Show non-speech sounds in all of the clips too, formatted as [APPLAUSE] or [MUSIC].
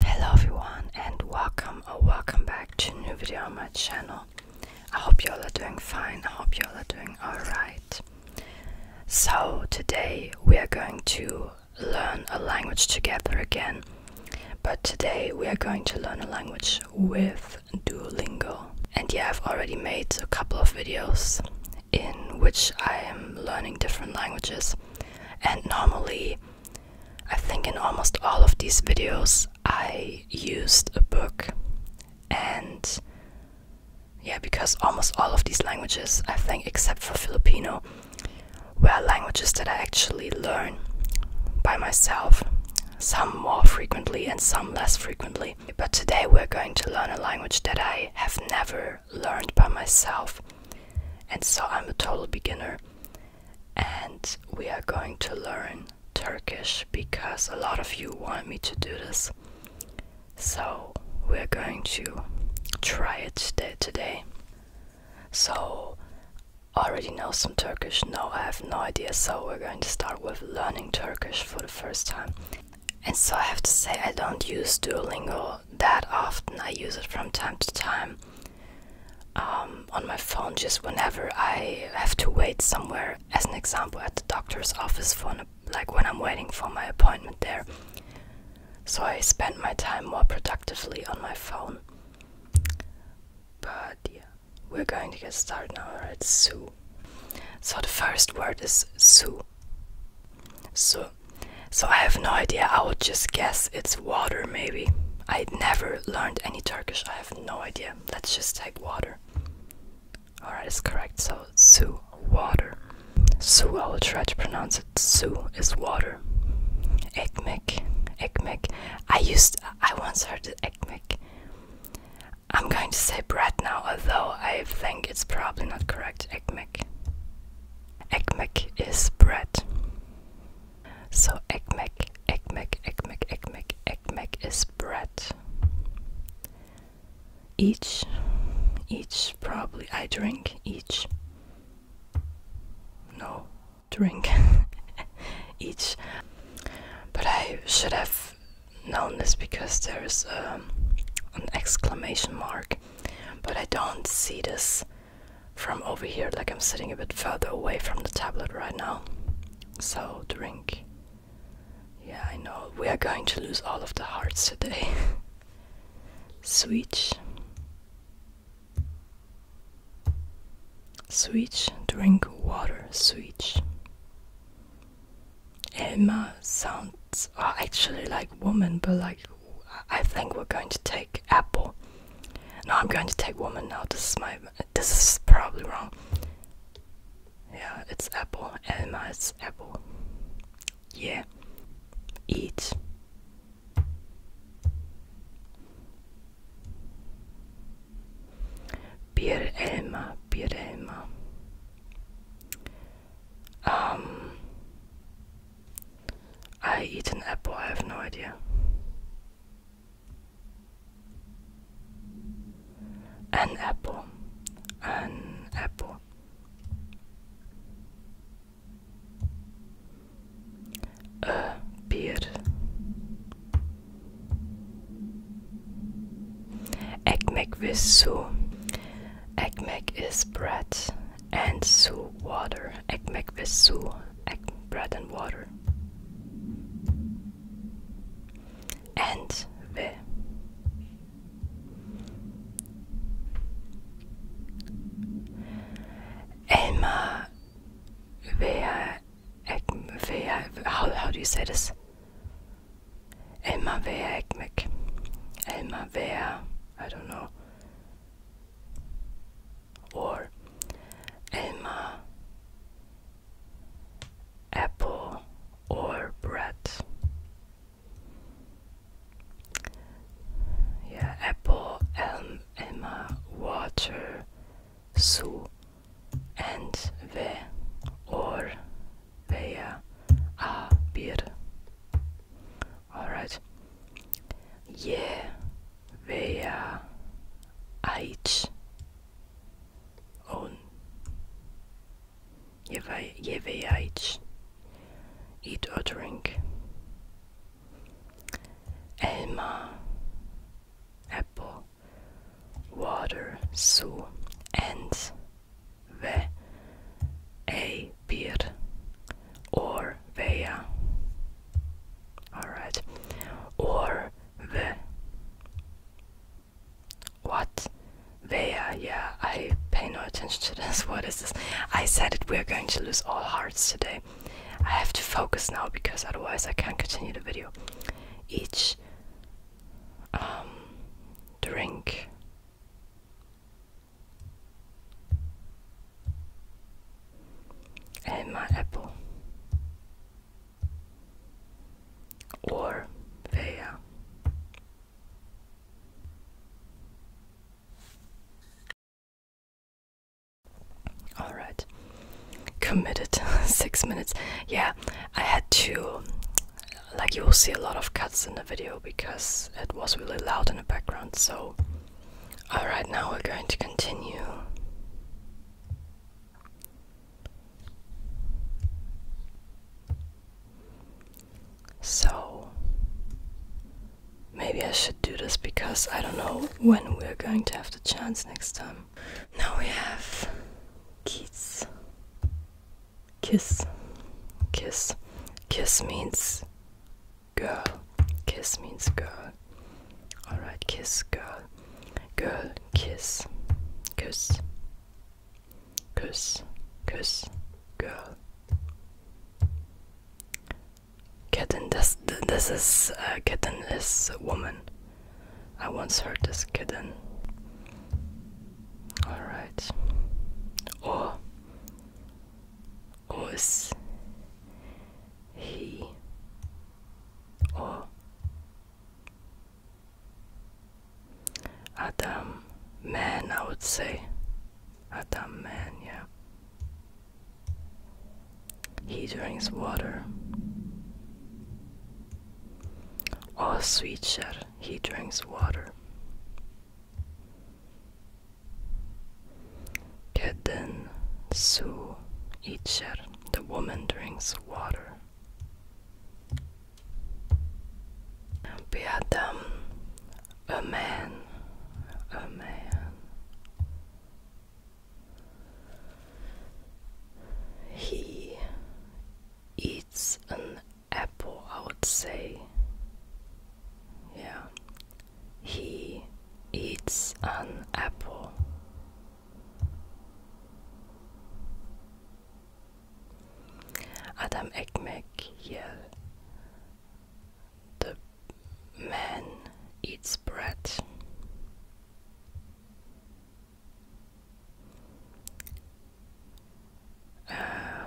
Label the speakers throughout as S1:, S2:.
S1: Hello everyone and welcome or welcome back to a new video on my channel. I hope you all are doing fine. I hope you all are doing alright. So today we are going to learn a language together again. But today we are going to learn a language with Duolingo. And yeah, I've already made a couple of videos in which I am learning different languages. And normally I think in almost all of these videos I used a book, and yeah, because almost all of these languages, I think, except for Filipino, were languages that I actually learn by myself, some more frequently and some less frequently. But today we're going to learn a language that I have never learned by myself, and so I'm a total beginner and we are going to learn Turkish because a lot of you want me to do this. So we're going to try it today. So already know some Turkish. No, I have no idea. So we're going to start with learning Turkish for the first time. And so I have to say I don't use Duolingo that often. I use it from time to time um, on my phone just whenever I have to wait somewhere, as an example, at the doctor's office for like when I'm waiting for my appointment there. So I spend my time more productively on my phone. But yeah, we're going to get started now, right? Sue. So the first word is Sue. So, so I have no idea. I would just guess It's water maybe. I never learned any Turkish. I have no idea. Let's just take water. Alright, it's correct. So su water. Su I will try to pronounce it. Su is water. Ekmek. Ekmek. I used I once heard it ekmek. I'm going to say bread now, although I think it's probably not correct. Ekmek. Ekmek is bread. So ekmek, ekmek, ekmek, ekmek, ekmek is bread. Each, each probably I drink each. No, drink [LAUGHS] each. But I should have known this because there's um, an exclamation mark. But I don't see this from over here, like I'm sitting a bit further away from the tablet right now. So, drink. Yeah, I know. We are going to lose all of the hearts today. [LAUGHS] Switch. Switch. Drink water. Switch. Emma sounds oh, actually like woman, but like I think we're going to take apple. No, I'm going to take woman now. This is my. This is probably wrong. Yeah, it's apple. Elma is apple. Yeah. Eat. Bier Elma. Bier Elma. Um. I eat an apple, I have no idea. An apple, an apple. A beer. Ekmek with soup. Egg, mac is bread and soup water ekmek ve su, ek bread and water. And ve elma veya how do you say this? Elma veya ekmek. Elma veya I don't know or Elma, apple or bread. Yeah, apple, elm, Elma, water, su, and ve or veya a beer. All right. Yeah, veya aici on je vei aici eat or drink elma apple water su and ve a beer or via. Alright. Or the. What? Via, yeah, I pay no attention to this. [LAUGHS] What is this? I said that we're going to lose all hearts today. I have to focus now because otherwise I can't continue the video. Each um, drink and my apple or Vea. All right, committed [LAUGHS] six minutes. Yeah, I had to. Like, you will see a lot of cuts in the video because it was really loud in the background, so Alright, now we're going to continue. So, maybe I should do this because I don't know when we're going to have the chance next time. Now we have kiss. Kiss. Kiss. Kiss means girl. Kiss means girl. Alright, kiss girl. Girl, kiss. kiss, kiss, kiss, Girl. Kitten, this, this is, uh, kitten is woman. I once heard this kitten. Alright. Or, os, he, o. Adam, man, I would say. Adam, man, yeah. He drinks water. Oh, sweet shit, he drinks water. Kedden su icher. The woman drinks water. Beadam, a man, a man. He eats an apple, I would say. Yeah, he eats an apple. Adam ekmek yer. The man eats bread. Uh,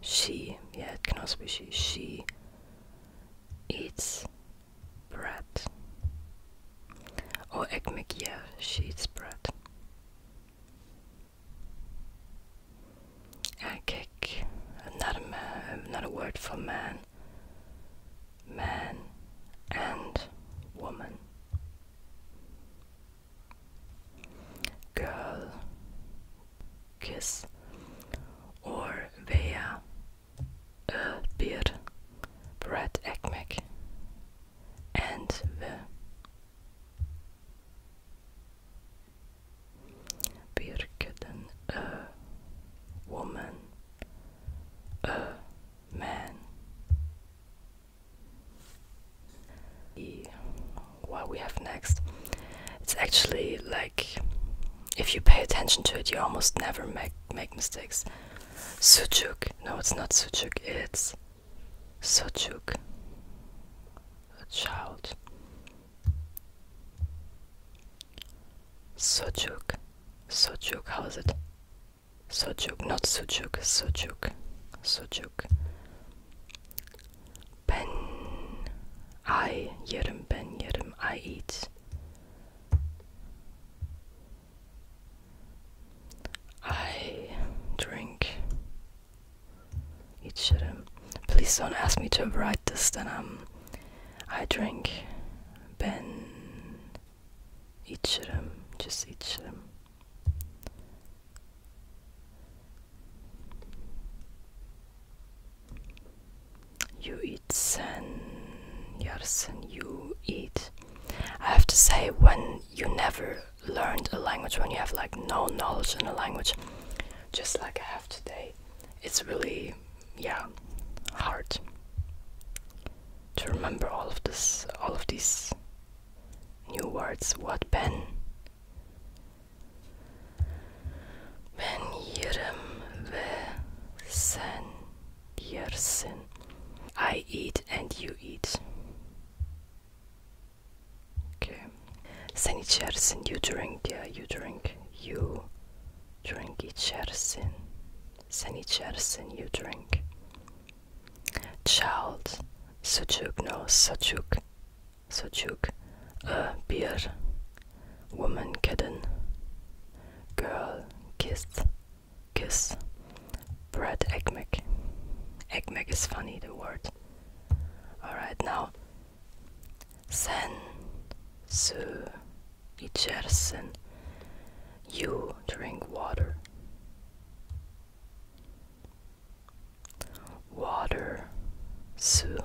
S1: she, yeah, it can also be she. She eats bread. Or egg maak yeah, sheets bread. En kijk, another man, another word for man. Man and woman. Girl, kiss, or vea, a beer, bread ekmek, and the Birkeden, a woman, a man. What we have next? It's actually like if you pay attention to it you almost never make make mistakes sujuk no it's not sujuk it's sojuk a child sojuk sojuk how is it sojuk not sujuk sojuk sojuk ben i yerim ben yerim i eat I drink. It shouldn't. Please don't ask me to write this. Then I'm. Um, I drink. Ben. İçerim. Just içerim. You eat sen. Yarsen, you eat. I have to say, when you never learned a language, when you have like no knowledge in a language, just like I have today, it's really, yeah, hard to remember all of this, all of these new words. What ben? Ben yirem ve sen Yersin. I eat and you eat. Okay. Sen içersin. You drink. Yeah, you drink. You drink içersin. Sen içersin. You drink. Child. Sucuk. No. Sucuk. Sucuk. Uh, beer woman kitten, girl kiss, kiss, bread Egg, Eggmeg is funny, the word. Alright, now sen, su, ichersen. You drink water. Water, su,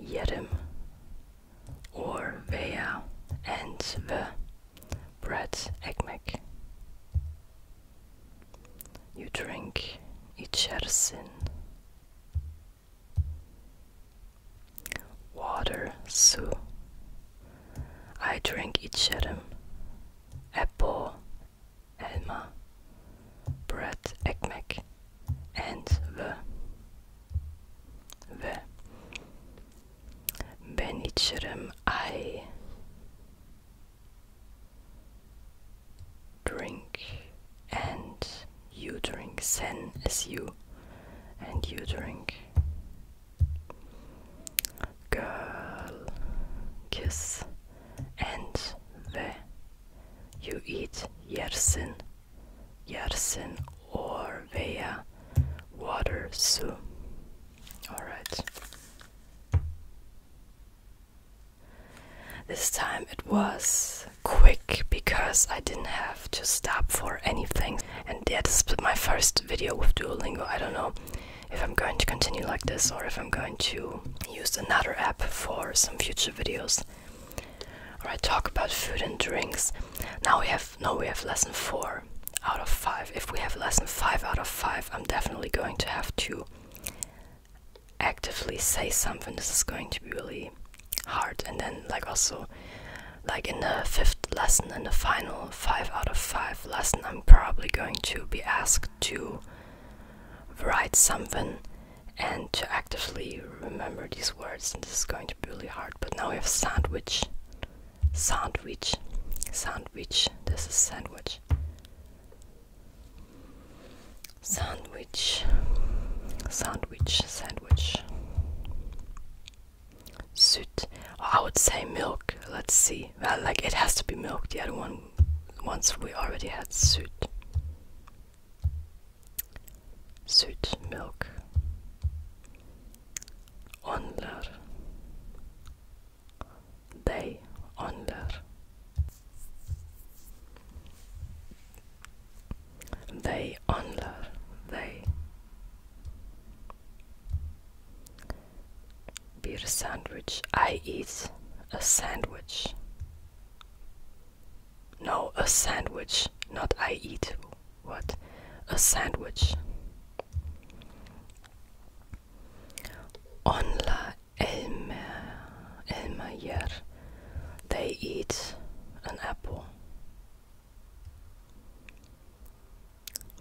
S1: yerim, or Orvea and the Brett ekmek. You drink ichersin. Water, su. I drink içerim. Apple, elma, bread, ekmek, and the ve ben I drink and you drink sin is you and you drink girl kiss and ve you eat your sin. Järsen or via water su. Alright. This time it was quick because I didn't have to stop for anything. And that is my first video with Duolingo. I don't know if I'm going to continue like this or if I'm going to use another app for some future videos. Alright, talk about food and drinks. Now we have no we have lesson four out of five. If we have lesson five out of five, I'm definitely going to have to actively say something. This is going to be really hard. And then like also like in the fifth lesson in the final five out of five lesson I'm probably going to be asked to write something and to actively remember these words, this is going to be really hard. But now we have sandwich, sandwich, sandwich. This is sandwich, sandwich, sandwich, sandwich. Süd. Oh, I would say milk. Let's see. Well, like it has to be milk. The other one, once we already had süd. Süd milk. Under They. under They. under They. Bir sandwich. I eat a sandwich. No, a sandwich, not I eat. What? A sandwich. On la Onla Elmeyer. They eat an apple.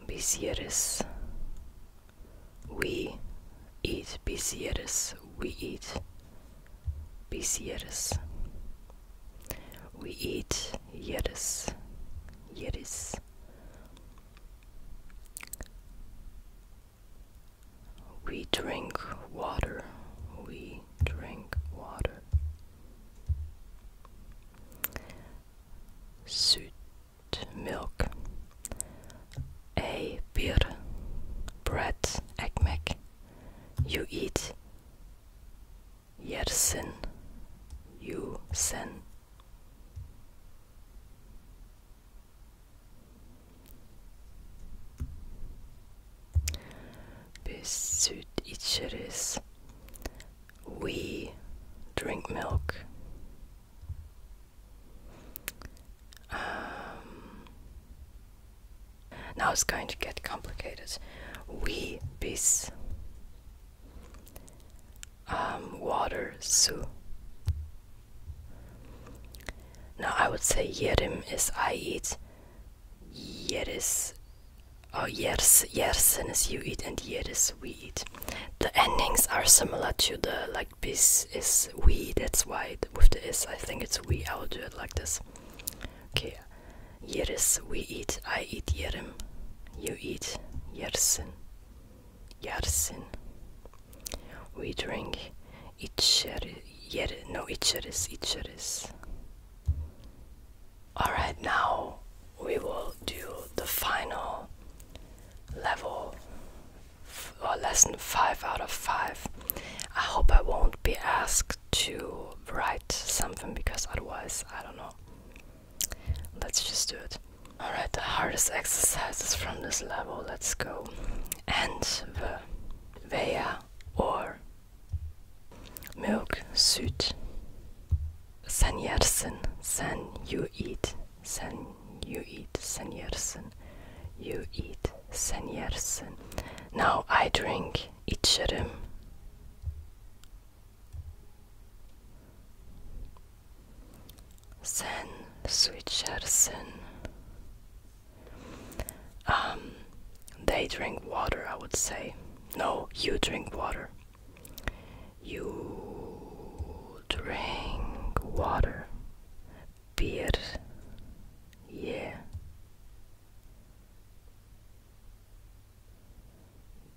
S1: Bisieres. We eat bisieres. We eat bisieres. We eat yeris. Yeris. We drink water. We drink water. Süt milk. A beer. Bread. Ekmek. You eat sin. you sin. Biz süt içeriz We drink milk um, Now it's going to get complicated We biz um, water, So Now I would say yerim is I eat, yeris, oh yers, and is you eat, and yeris we eat. The endings are similar to the like bis is we. That's why with the is I think it's we. I will do it like this. Okay, Yeris, we eat, I eat yerim, you eat yersin, yarsin. We drink içeri, yer, no içeriz, içeriz. Alright, now we will do the final level or lesson 5 out of 5. I hope I won't be asked to write something because otherwise, I don't know. Let's just do it. Alright, the hardest exercises from this level, let's go. And the Vea or Milk suit. Sen yersin, sen you eat, sen you eat, sen you eat, sen Now I drink, içerim, Sen switchersen. Um, they drink water I would say. No, you drink water. You drink water. Beer. Yeah.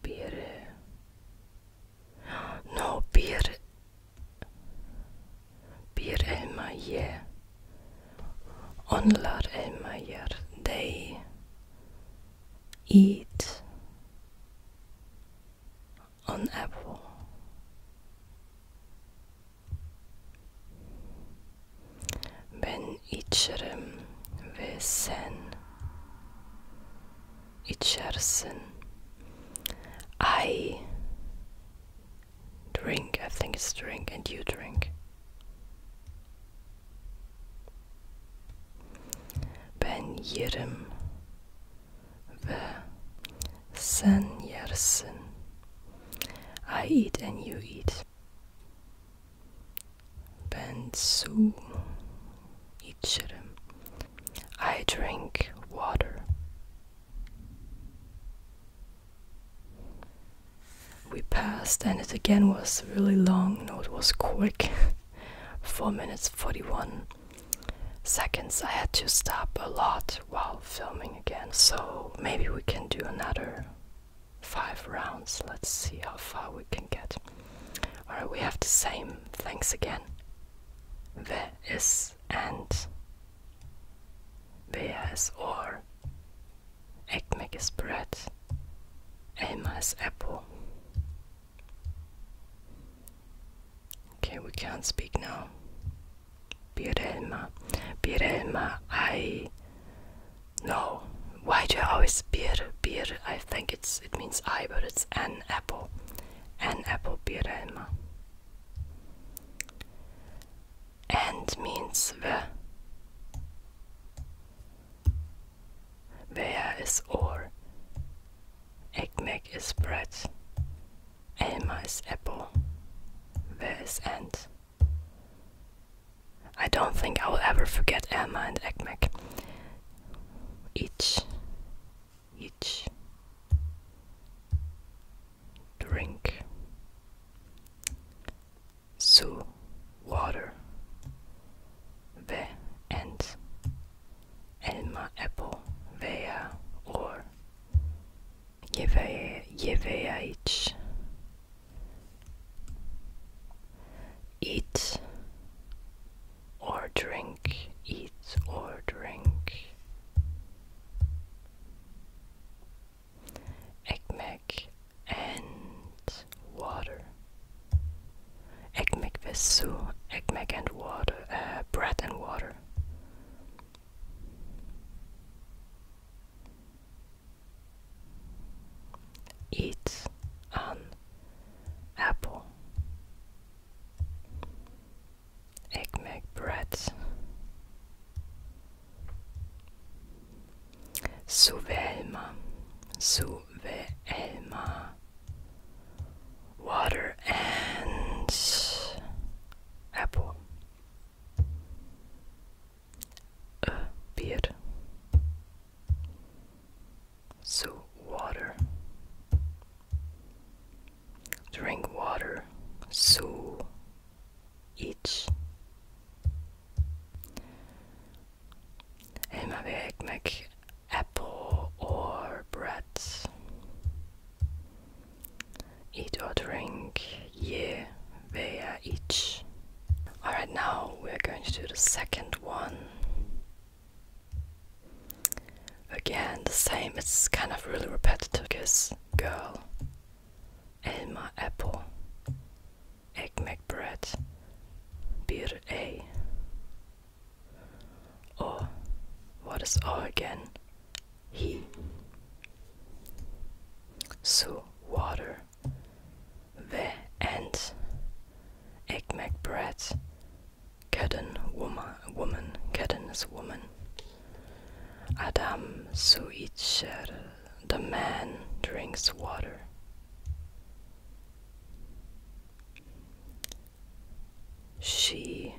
S1: Peru. No, Bir. Bir elmaye. Onlar elmayer. They eat an apple. Ben içerim ve sen içersin. I drink, I think it's drink, and you drink. Ben yerim ve sen yersin. I eat and you eat. Bensu içerim. I drink water. We passed, and it again was really long. No, it was quick. [LAUGHS] 4 minutes 41 seconds. I had to stop a lot while filming again, so maybe we can do another five rounds. Let's see how far we can get. Alright, we have the same things again. There is and Bea is or Ekmek is bread. Elma is apple. Okay, we can't speak now. Birelma. Birelma, I no. Why do I always beer? Beer, I think it's it means I, but it's an apple. An apple Birelma. And means the. Where is or. Ekmek is bread. Elma is apple. Where is and? I don't think I will ever forget Emma and Ekmek. Each, each, drink, So, water, Ve, and Emma apple, Vea, or Jevea, Jevea, each eat or drink, eat or drink. Ekmek and water. Ekmek ve su, ekmek and water, uh, bread and water eats an apple. Ik maak bread. Suvelma, Water and apple. A beer. So, water. Drink water. So, eat. Elma ve ekmek. Apple or bread. Eat or drink. Ye veya iç. Alright, now we're going to do the second one. Again, the same, it's kind of really repetitive because girl, Elma Apple, Ekmek Bread, beer, A. Or, oh, what is O again? He. So, water. The and Ekmek bread. Kedden woman woman Kedden is woman. Adam su içer the man drinks water. She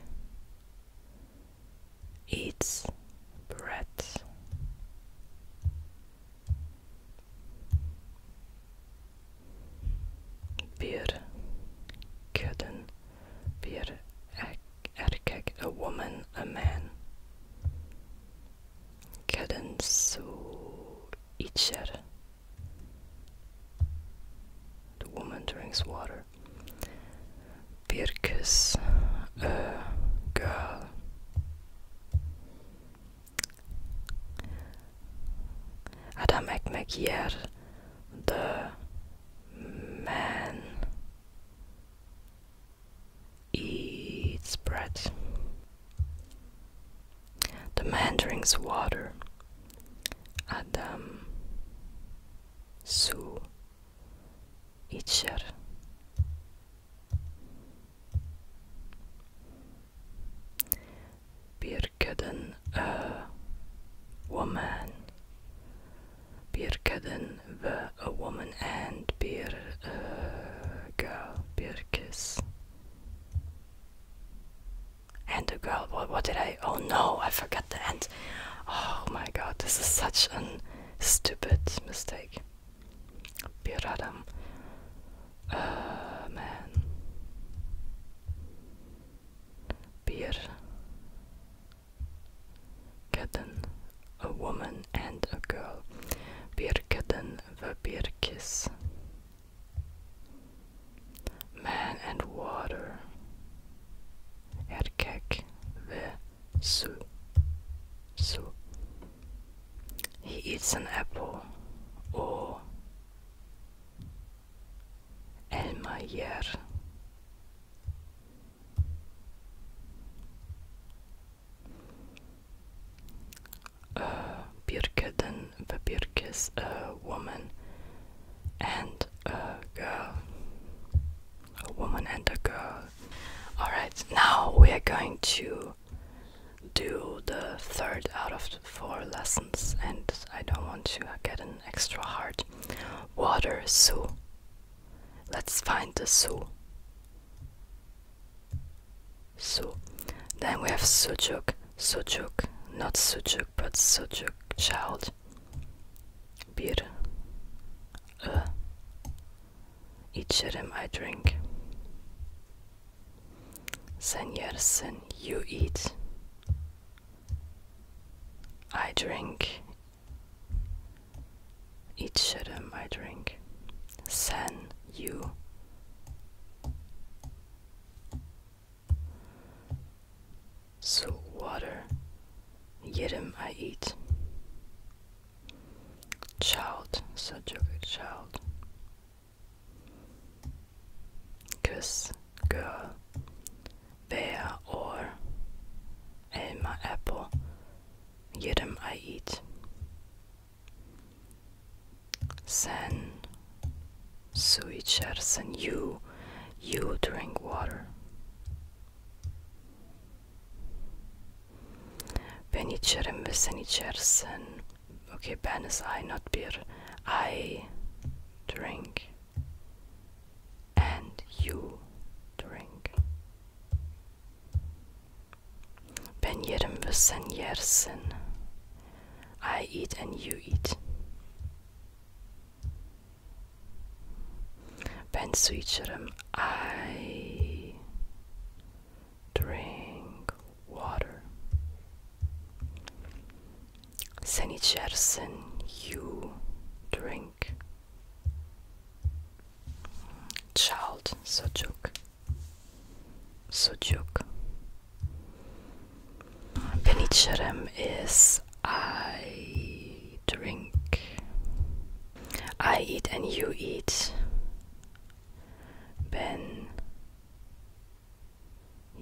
S1: eats bread. Beer. können wir a woman, a man. Können zu each The woman drinks water. Beer. a girl. Adam ekmek yer the man eats bread. The man drinks water. Adam su içer. Birkaden a woman. Birkaden ve a woman and bir uh, girl. Birkis. And a girl. What, what did I? Oh no, I forgot the end. Oh my god, this is such a stupid mistake. Biradam. Uh, man. Beer. Kitten. A woman and a girl. beer beer kiss. Man and water. Erkek ve su. Su. He eats an apple. Or Elmayer uh, birken, the Birkes a woman and a girl a woman and a girl all right now we are going to do the third out of four lessons, and I don't want to get an extra hard. Water, Sue. Let's find the Sue. Sue. Then we have Sujuk, Sujuk, not Sujuk, but Sujuk, child. Beer. Uh. Each of them I drink. Sen yersin, you eat. I drink. İçerim, I drink. Sen, you. So water. Yerim, I eat. Child, so joke, child. Kiss, girl. Bear or, år, my apple, jedem I eat. Sen, switchers and you, you drink water. Venicerem vesenicers sen Okay, Ben is I, not beer. I drink. And you drink. Ben yerim ve sen yersin. I eat and you eat. Ben su I drink water. Sen içersin, you drink. Child, sucuk. Sucuk. Ben içerim is I drink. I eat and you eat. Ben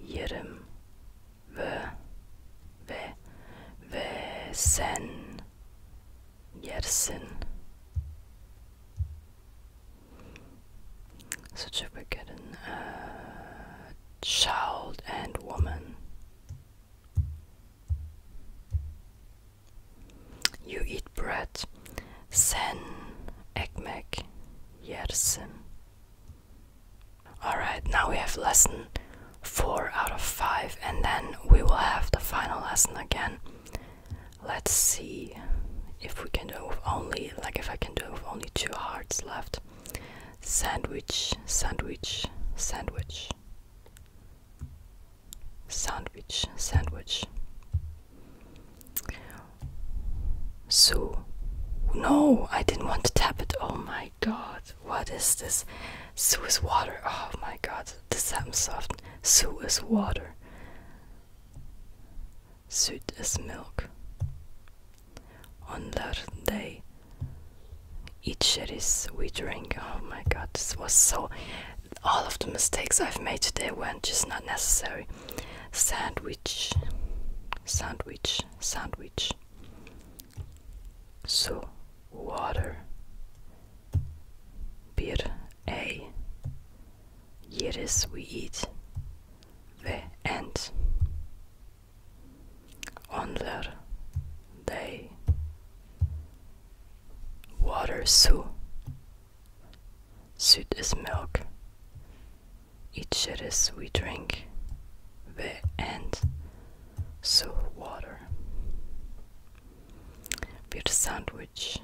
S1: yirmi ve ve ve sen yersin. Such a uh, child and woman. You eat bread. Sen ekmek yersin. Alright, now we have lesson 4 out of 5, and then we will have the final lesson again. Let's see if we can do only, like, if I can do only two hearts left. Sandwich, sandwich, sandwich. Sandwich, sandwich. So, no, I didn't want to tap it. Oh my god, what is this? Sue is water. Oh my god, this happens so is water. Süd is milk. On that day, each is we drink. Oh my god, this was so. All of the mistakes I've made today were just not necessary. Sandwich sandwich, sandwich. So, water. Beer. A. yeriz we eat end. On onlar day. water su Süd is milk. Each it is we drink. We and so water. Be a sandwich.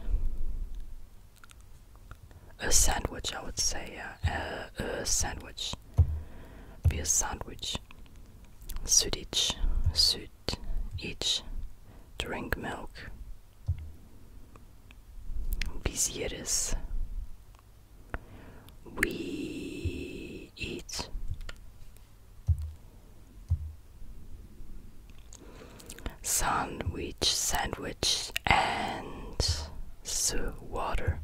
S1: A sandwich, I would say, yeah. a sandwich. Be a sandwich. Süd each. Süd each. Drink milk. Biz yeriz. We eat. Sandwich, sandwich, and su water.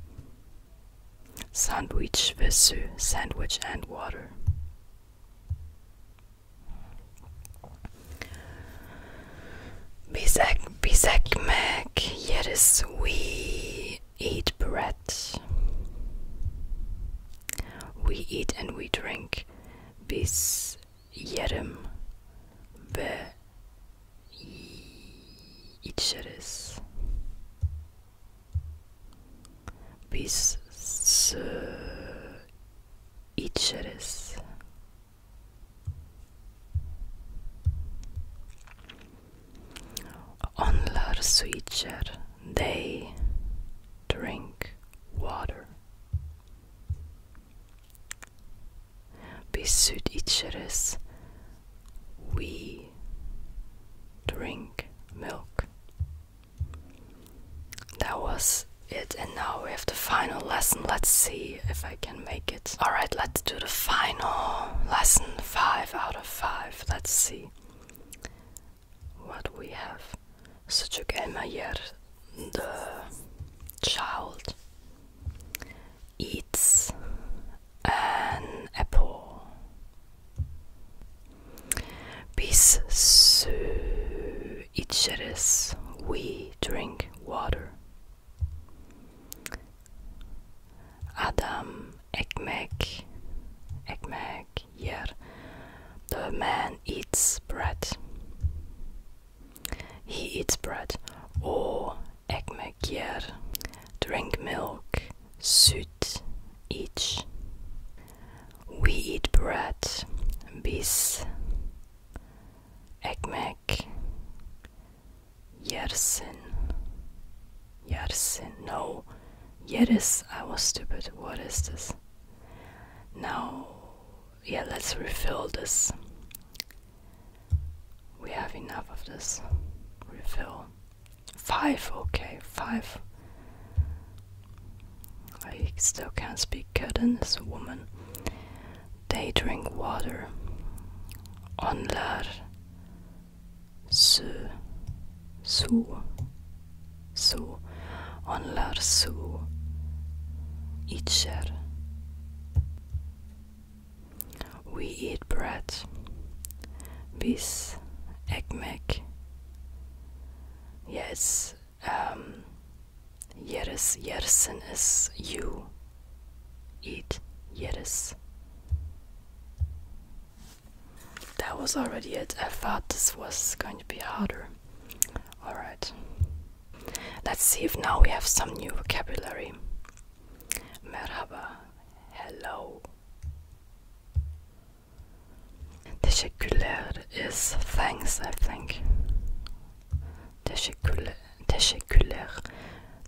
S1: Sandwich with su, sandwich and water. Bizak bizak Bisakmek, yes, we eat bread. We eat and we drink. Biz jedem ve içeriz. Bis içeriz. Onlar switcher, they drink water. Biz süt içeriz, we drink milk. That was it, and now we have the final lesson. Let's see if I can make it. Alright, let's do the final lesson. Five out of five. Let's see what we have. Sucuk Elmayer, the child, eats an apple. Biz su içeriz. We drink water. Adam ekmek, ekmek yer. The man eats bread. He eats bread. O oh, ekmek yer. Drink milk. Süt each. We eat bread. Bis ekmek Yersin. Yersin. No. Yeris. I was stupid. What is this? Now, yeah, let's refill this. We have enough of this. Refill. Five. Okay, five. I still can't speak Kurdan is a woman. They drink water. Onlar su su su onlar su içer. We eat bread. Biz ekmek. Yes, um, yeriz, yersin is you eat jedes. That was already it. I thought this was going to be harder. Alright. Let's see if now we have some new vocabulary. Merhaba. Hello. Teşekkürler is thanks, I think teşekkürler teşekkürler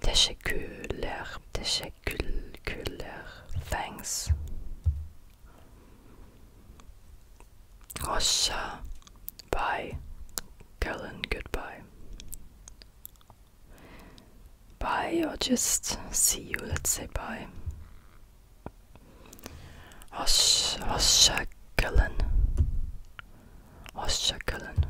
S1: teşekkürler teşekkürler thanks hoşça bye Colin goodbye bye or just see you let's say bye hoşça kalın hoşça kalın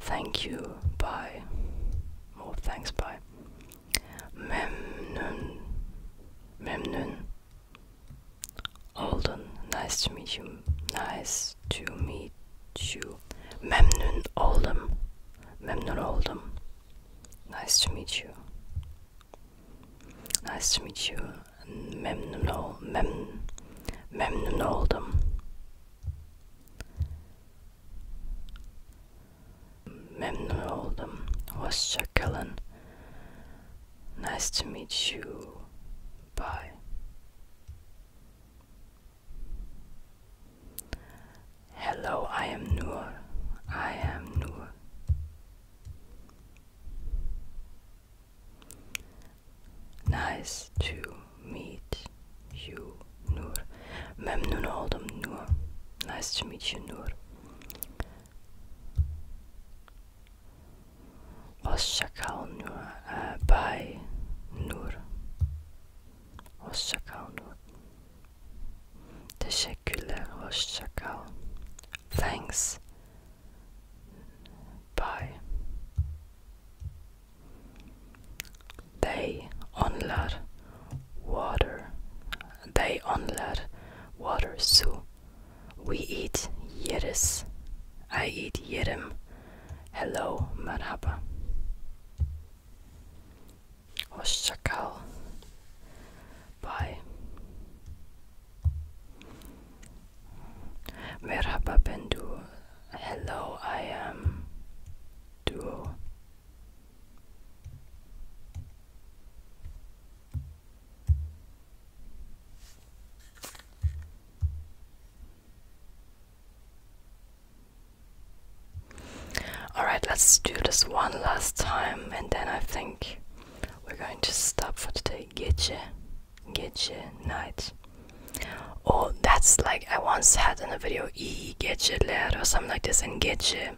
S1: Thank you, bye. More thanks, bye. Memnun, memnun. Olden, nice to meet you. Nice to meet you. Memnun oldum. Memnun oldum. Nice to meet you. Nice to meet you. Memnun ol, memnun, memnun oldum. Memnun oldum. Hoşça Nice to meet you. Bye. Hello, I am Noor. I am Noor. Nice to meet you, Noor. Memnun oldum, Noor. Nice to meet you, Noor. Hoşça Noor. Uh, bye, Noor. Hoşça Noor. The Teşekkürler, was kal. Thanks. Bye. They onlar water. They onlar water So, We eat yeriz. I eat yidim. Hello, merhaba. Hoşçakal. Bye. Merhaba ben Duo. Hello, I am Duo. Alright, let's do this one last time and then I think we're going to stop for today. Gece, gece, night. Oh, that's like I once had in a video E i geceler or something like this. In gece,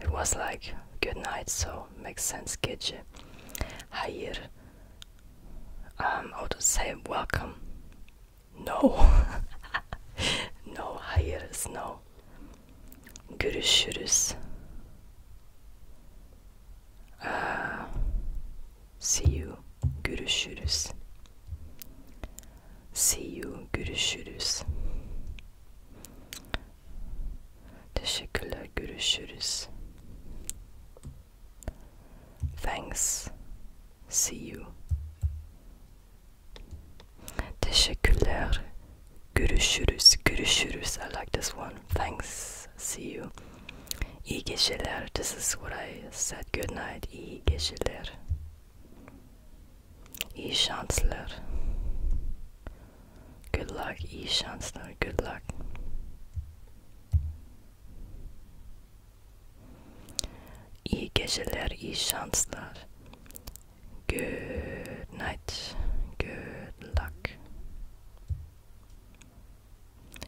S1: it was like good night, so makes sense. Gece, hayır. Um, I to say welcome. No, [LAUGHS] no, hayır no. Görüşürüz. Uh, see you. Görüşürüz. See you. Görüşürüz. Teşekkürler. Görüşürüz. Thanks. See you. Teşekkürler. Görüşürüz. Görüşürüz. I like this one. Thanks. See you. İyi geceler. This is what I said. Good night. İyi geceler. İyi şanslar. Good luck. İyi şanslar. Good luck. İyi geceler. iyi şanslar. Good night. Good luck.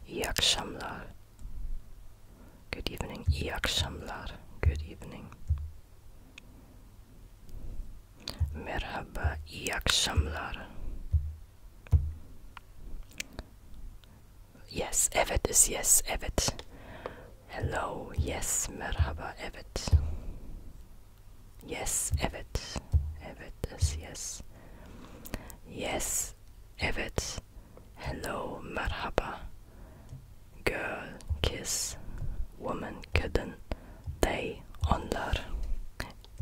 S1: İyi akşamlar. Good evening. İyi akşamlar. Good evening. Merhaba. İyi akşamlar. Yes, evet is yes, evet. Hello, yes, merhaba, evet. Yes, evet. Evet yes. Yes, evet. Hello, merhaba. Girl, kiss. Woman, kadın. They, onlar.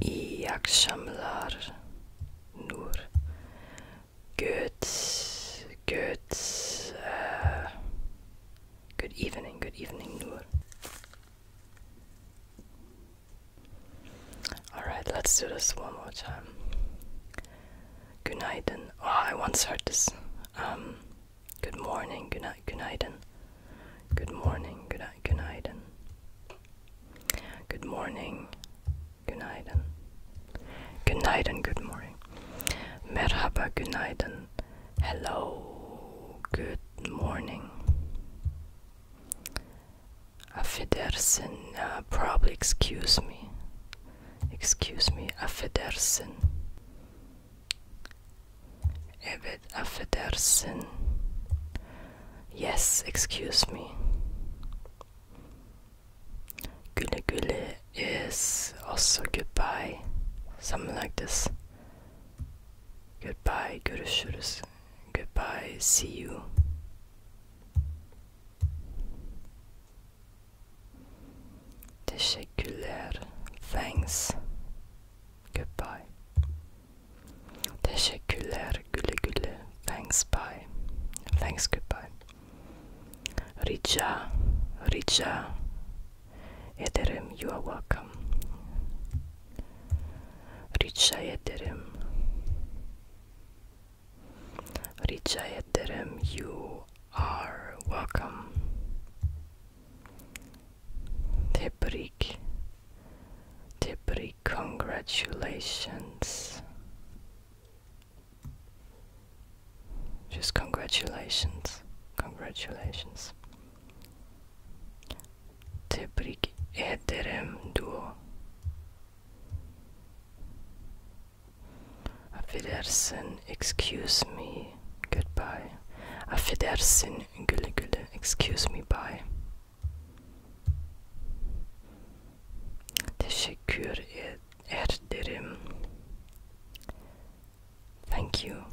S1: İyi akşamlar. Nur. Good, good. Uh, good evening, good evening, Nur. Alright, let's do this one more time. Gunaiden. Oh, I once heard this. Um, good morning, good night, Gunaiden. Good morning, good night, Gunaiden. Good morning, Gunaiden. Gunaiden, good morning. Merhaba, Gunaiden. Hello, good morning. Afedersen, uh, probably excuse me. Excuse me, afedersen. Evet, affedersin. Yes, excuse me. Güle güle is also goodbye. Something like this. Goodbye, görüşürüz. Goodbye, see you. Teşekkürler. Thanks. Goodbye. Teşekkürler. Güle güle. Thanks. Bye. Thanks. Goodbye. Rica. Rica. Ederim, you are welcome. Rica ederim. Rica ederim, you are welcome. Tebrik. Tebrik, congratulations. Just congratulations. Congratulations. Tebrik ederim duo. Affedersin, excuse me, goodbye. Affedersin, güle güle, excuse me, bye. Teşekkür ederim. Thank you.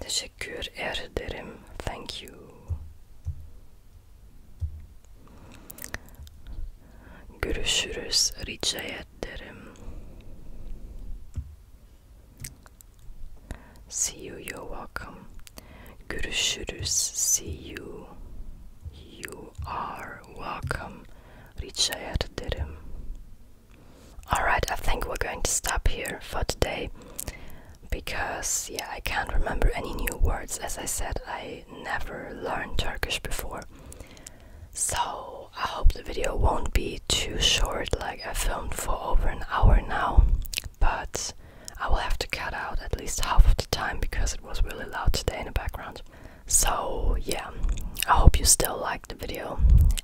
S1: Teşekkür ederim. Thank you. Görüşürüz. Rica ederim. See you. You're welcome. Görüşürüz. See you. You are welcome. Rica ederim. Alright, I think we're going to stop here for today because, yeah, I can't remember any new words. As I said, I never learned Turkish before. So, I hope the video won't be too short, like I filmed for over an hour now, but I will have to cut out at least half of the time because it was really loud today in the background. So, yeah, I hope you still like the video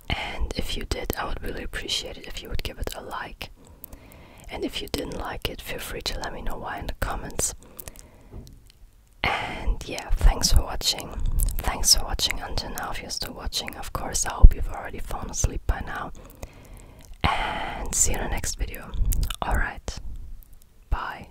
S1: and if you did I would really appreciate it if you would give it a like and if you didn't like it feel free to let me know why in the comments and yeah thanks for watching thanks for watching until now if you're still watching of course I hope you've already fallen asleep by now and see you in the next video alright bye